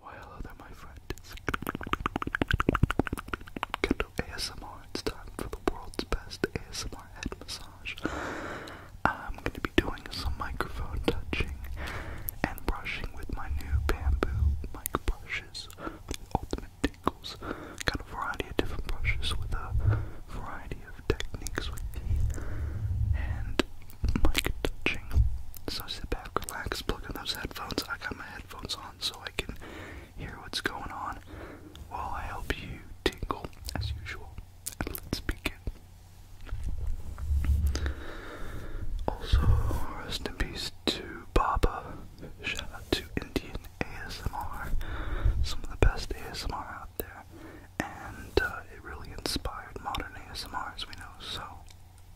Why hello there my friends. Kendall ASMR, it's time for the world's best ASMR head massage. I'm gonna be doing some microphone touching and brushing with my new bamboo mic brushes ultimate tingles. Got a variety of different brushes with a variety of techniques with the hand mic touching. So sit back back, relax, plug those headphones. I got my headphones on so I can hear what's going on while I help you tingle as usual. let's begin. Also, rest in peace to Baba. Shout out to Indian ASMR. Some of the best ASMR out there. And uh, it really inspired modern ASMRs we know. So,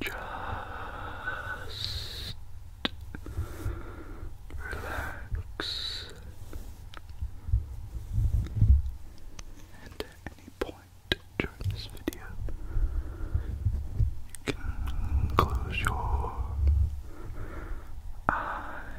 Just relax. And at any point during this video, you can close your eyes.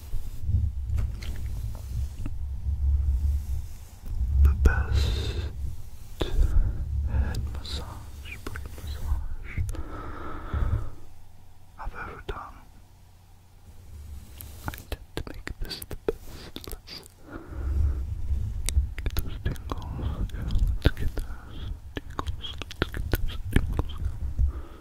The best head massage, brain massage I've ever done. I intend to make this the Let's get those tingles. let's get those tingles. Let's get those tingles.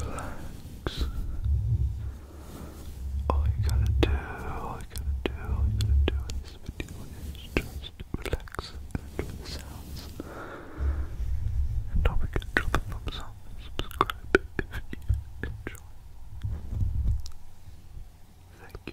Relax. All you gotta do, all you gotta do, all you gotta do in this video is just relax and the sounds. And don't forget to drop a thumbs up subscribe if you enjoy. Thank you.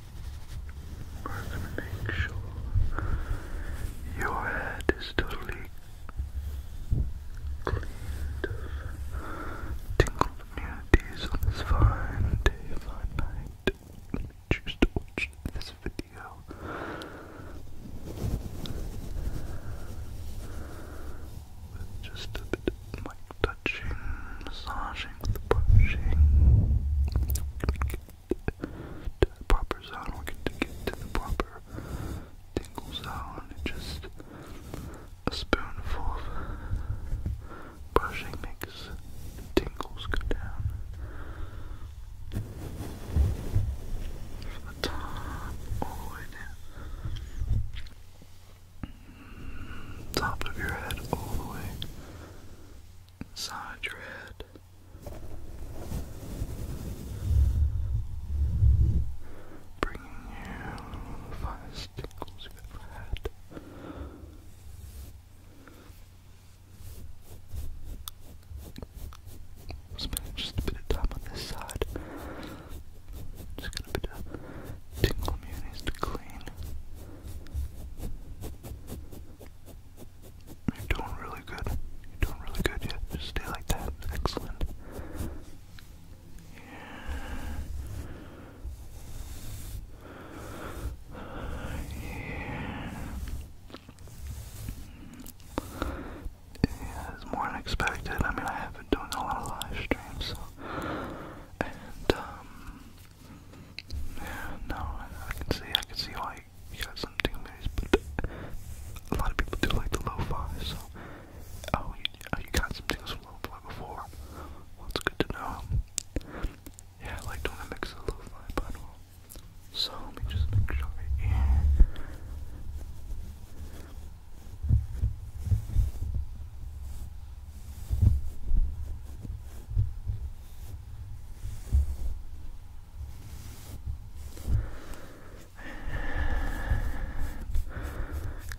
gonna make sure your head is totally clean. of tingled immunities on this fine day, fine night. When you choose to watch this video. With just a bit of my touching, massaging, brushing. the proper zone, we can get to the proper tingle zone. And just a spoonful of brushing makes tingles go down. From the top all the way down top of your head all the way inside your head. Bringing you the finest tingles you've ever had. Spending just a bit of time on this side. Just a bit of tingle munis to clean. You're doing really good. You're doing really good. Yeah, just stay like that. Excellent. Yeah. Yeah. it's more than I mean, I haven't done a lot of live streams, so. And, um, yeah, no, I can see, I can see why you got some dingleberries, but a lot of people do like the lo-fi, so, oh, you, oh, you got some things from lo-fi before, well, it's good to know. Yeah, I like doing a mix of lo-fi, but, well, um, so let me just make sure right here.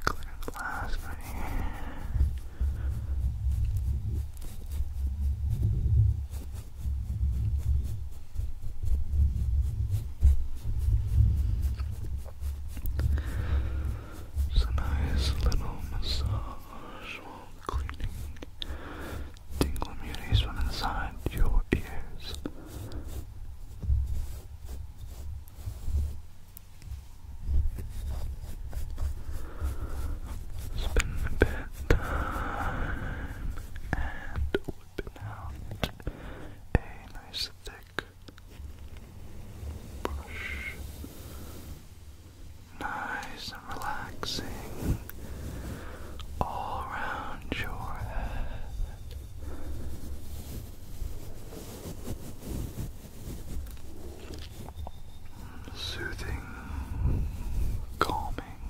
Clear glass right here. It's a nice little massage while cleaning tingle muties from inside your ears. Spend a bit and whip out a nice thick Brush. Nice and relaxing all around your head. Soothing, calming.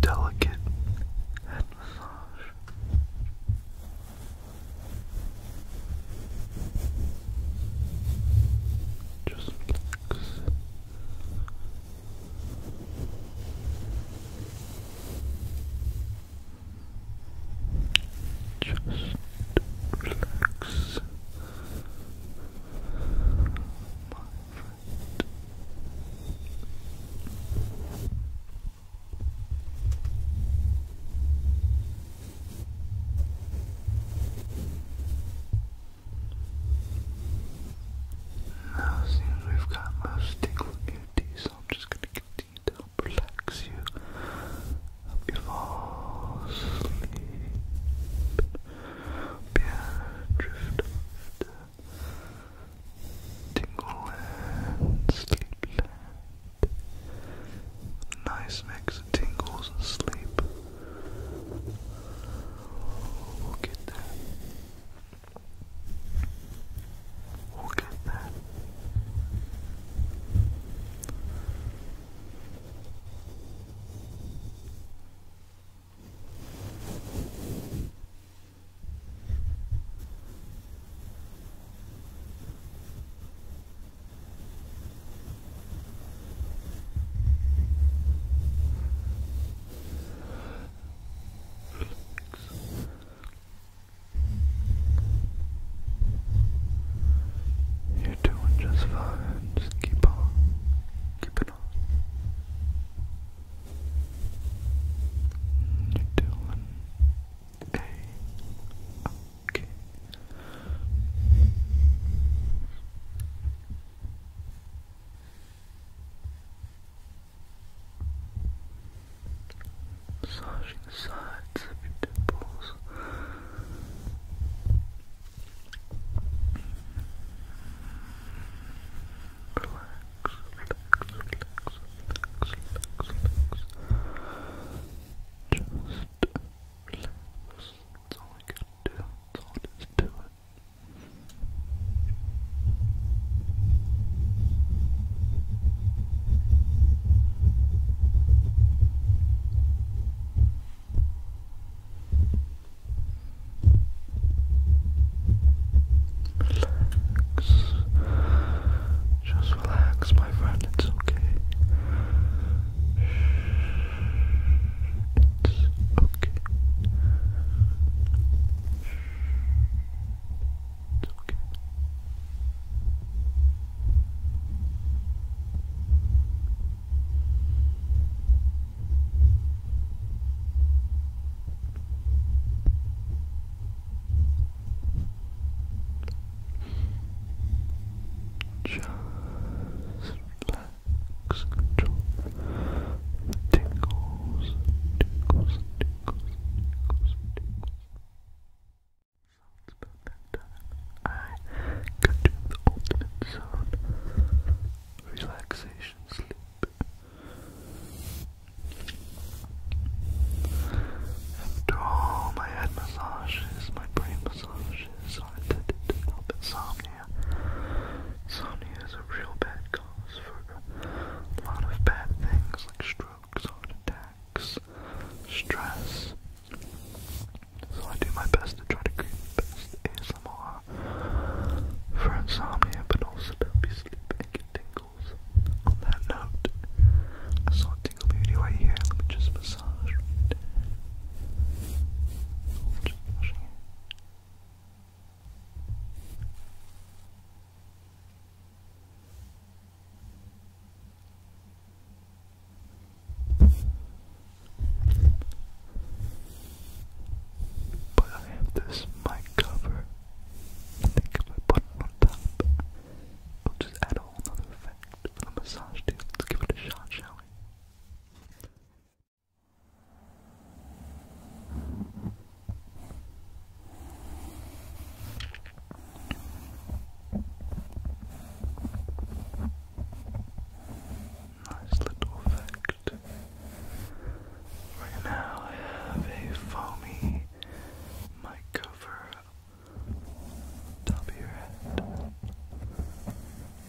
Delicate head massage. Just relax. Just relax, my friend. Now, since we've got most tingle beauties, so I'm just going to continue to relax you. Help you fall asleep. Bien drift off Tingleland, Sleepland. Nice mix of tingles and sleep. We'll that. We'll that. You're doing just fine. Just keep on, keep it on. You're doing a-okay. Massaging the sides of your temples. Relax relax. That's all I can do. That's all I just do it. Relax. Just relax, my friend. It's okay. It's okay. It's okay. Just relax, control tingles, tingles, tingles, tingles, tingles. about that time. I could do the ultimate zone. Relaxation sleep. After all my head massages, my brain massages are intended to help insomnia. Insomnia is a real bad cause for a lot of bad things like strokes, heart attacks, stress. So I do my best to try to create the best ASMR for insomnia, but also to help you sleep and get tingles. On that note, I saw a tingle beauty here. Let me just massage Just massaging But I have this mic cover I think if I put it on top, it'll just add a whole other effect for the massage, dude. Let's give it a shot, shall we? Nice little effect. Right now I have a foamy mic cover top of your head.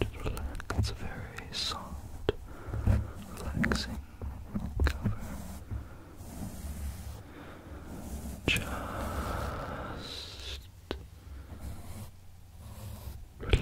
Just relax. It's a very soft, relaxing cover. Just relax.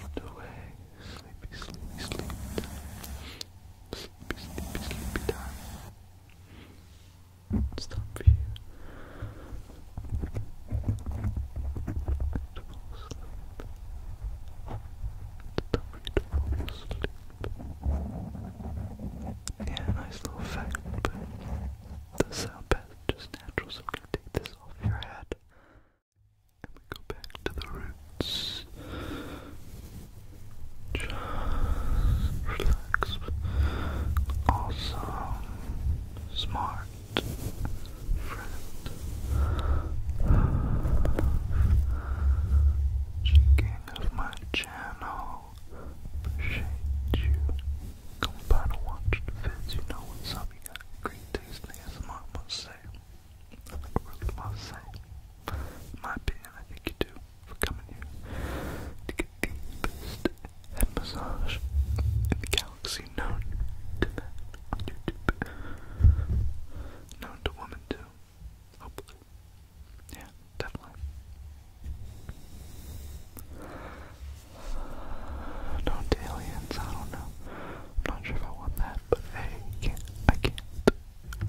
Drift away, sleepy, sleepy, sleepy time. Sleepy, sleepy, sleepy time. It's time for you to fall asleep. It's time for you to fall asleep. Yeah, nice little fact, but the sound path just natural, so we're take this off your head. And we go back to the roots. Just relax. Also, smart friend of, of my channel appreciate you coming by to watch the vids. You know what's up. You got great taste in I must say. I really must say. In my opinion, I think you do for coming here to get the best head massage in the galaxy known to YouTube. Known to women too. Hopefully. Yeah, definitely. do aliens, I don't know. I'm not sure if I want that, but hey, can't, I can't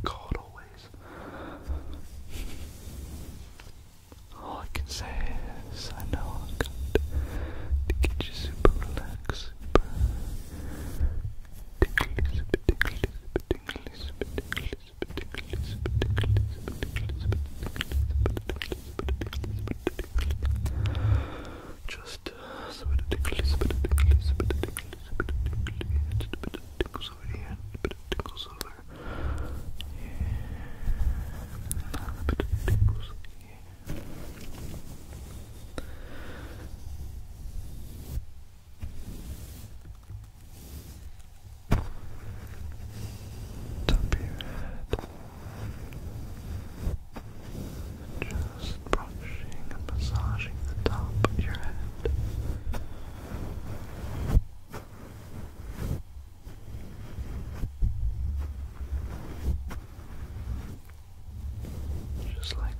call it always. All I can say is I know I'm going to get you super relaxed, super tingly, super tingly, super tingly, super just uh, so it tickles, but it tickles, but it tickles, but it tickles, but it tickles over here, but it tickles over here, but it tickles here. Top of your head. Just brushing and massaging the top of your head. Just like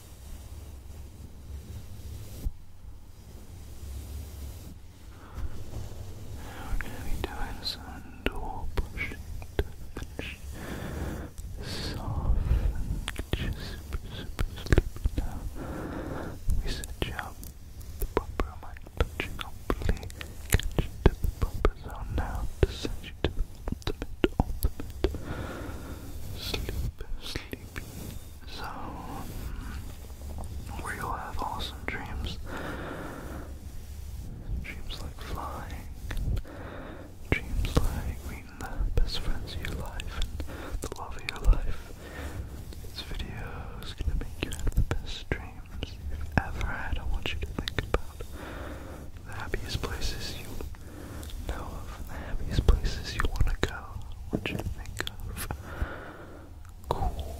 We're going to be doing some door pushing soft just super sleepy now. We set you up the proper amount of touching, hopefully get you to the proper zone now to send you to the ultimate, sleep, sleepy so, um, where you'll have awesome dreams. Dreams like flying. Dreams like meeting the best friends of your life and the love of your life. This video is gonna make you have the best dreams you've ever had. want you to think about the happiest places you know of the happiest places you want to go what you think of cool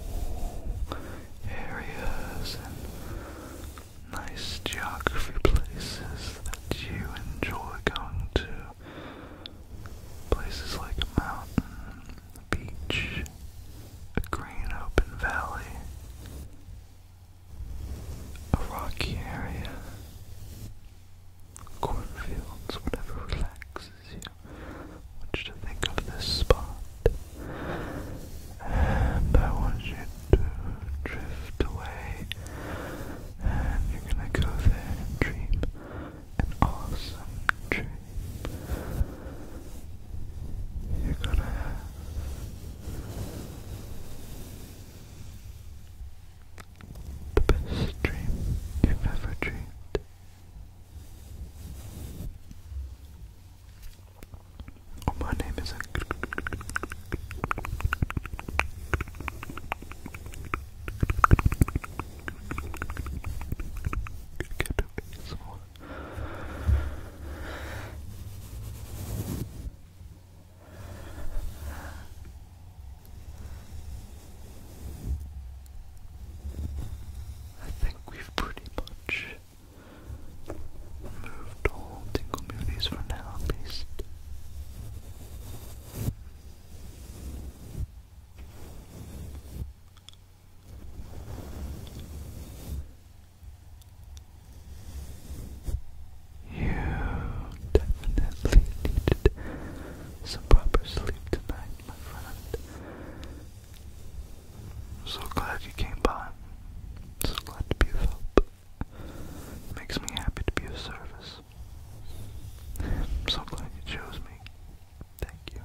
areas and nice geography places that you enjoy going to. Places like a mountain, a beach, a green open valley, a rocky area, cornfields, whatever relaxes you. want you to think of this spot. And I want you to drift away. And you're gonna go there and dream an awesome dream. You're gonna the best dream you've ever dreamed. Oh, my name is. I think we've pretty much moved all Tingle Moonies for now, at least. You definitely needed some proper sleep tonight, my friend. I'm so glad you came by. so glad to be of help. makes me happy to be of service. so glad you chose me. Thank you.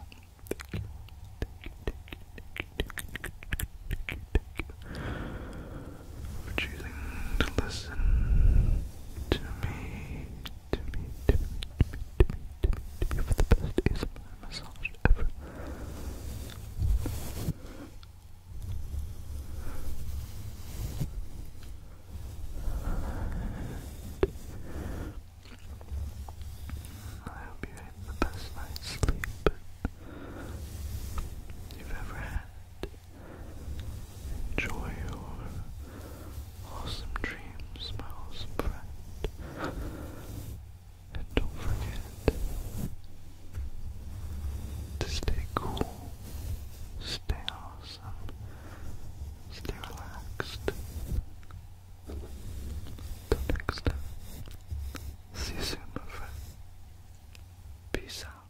Thank you. Thank you. Thank you. Thank you. Thank you. Thank you. Thank you. For choosing to listen to me to me, to me, to me, to me, to me, to me for the best ASMR massage ever. I hope you had the best night's sleep you've ever had. Enjoy your awesome dreams, my awesome friend. And don't forget to stay cool, stay awesome, stay relaxed. Till next time. See you soon, my friend. Peace out.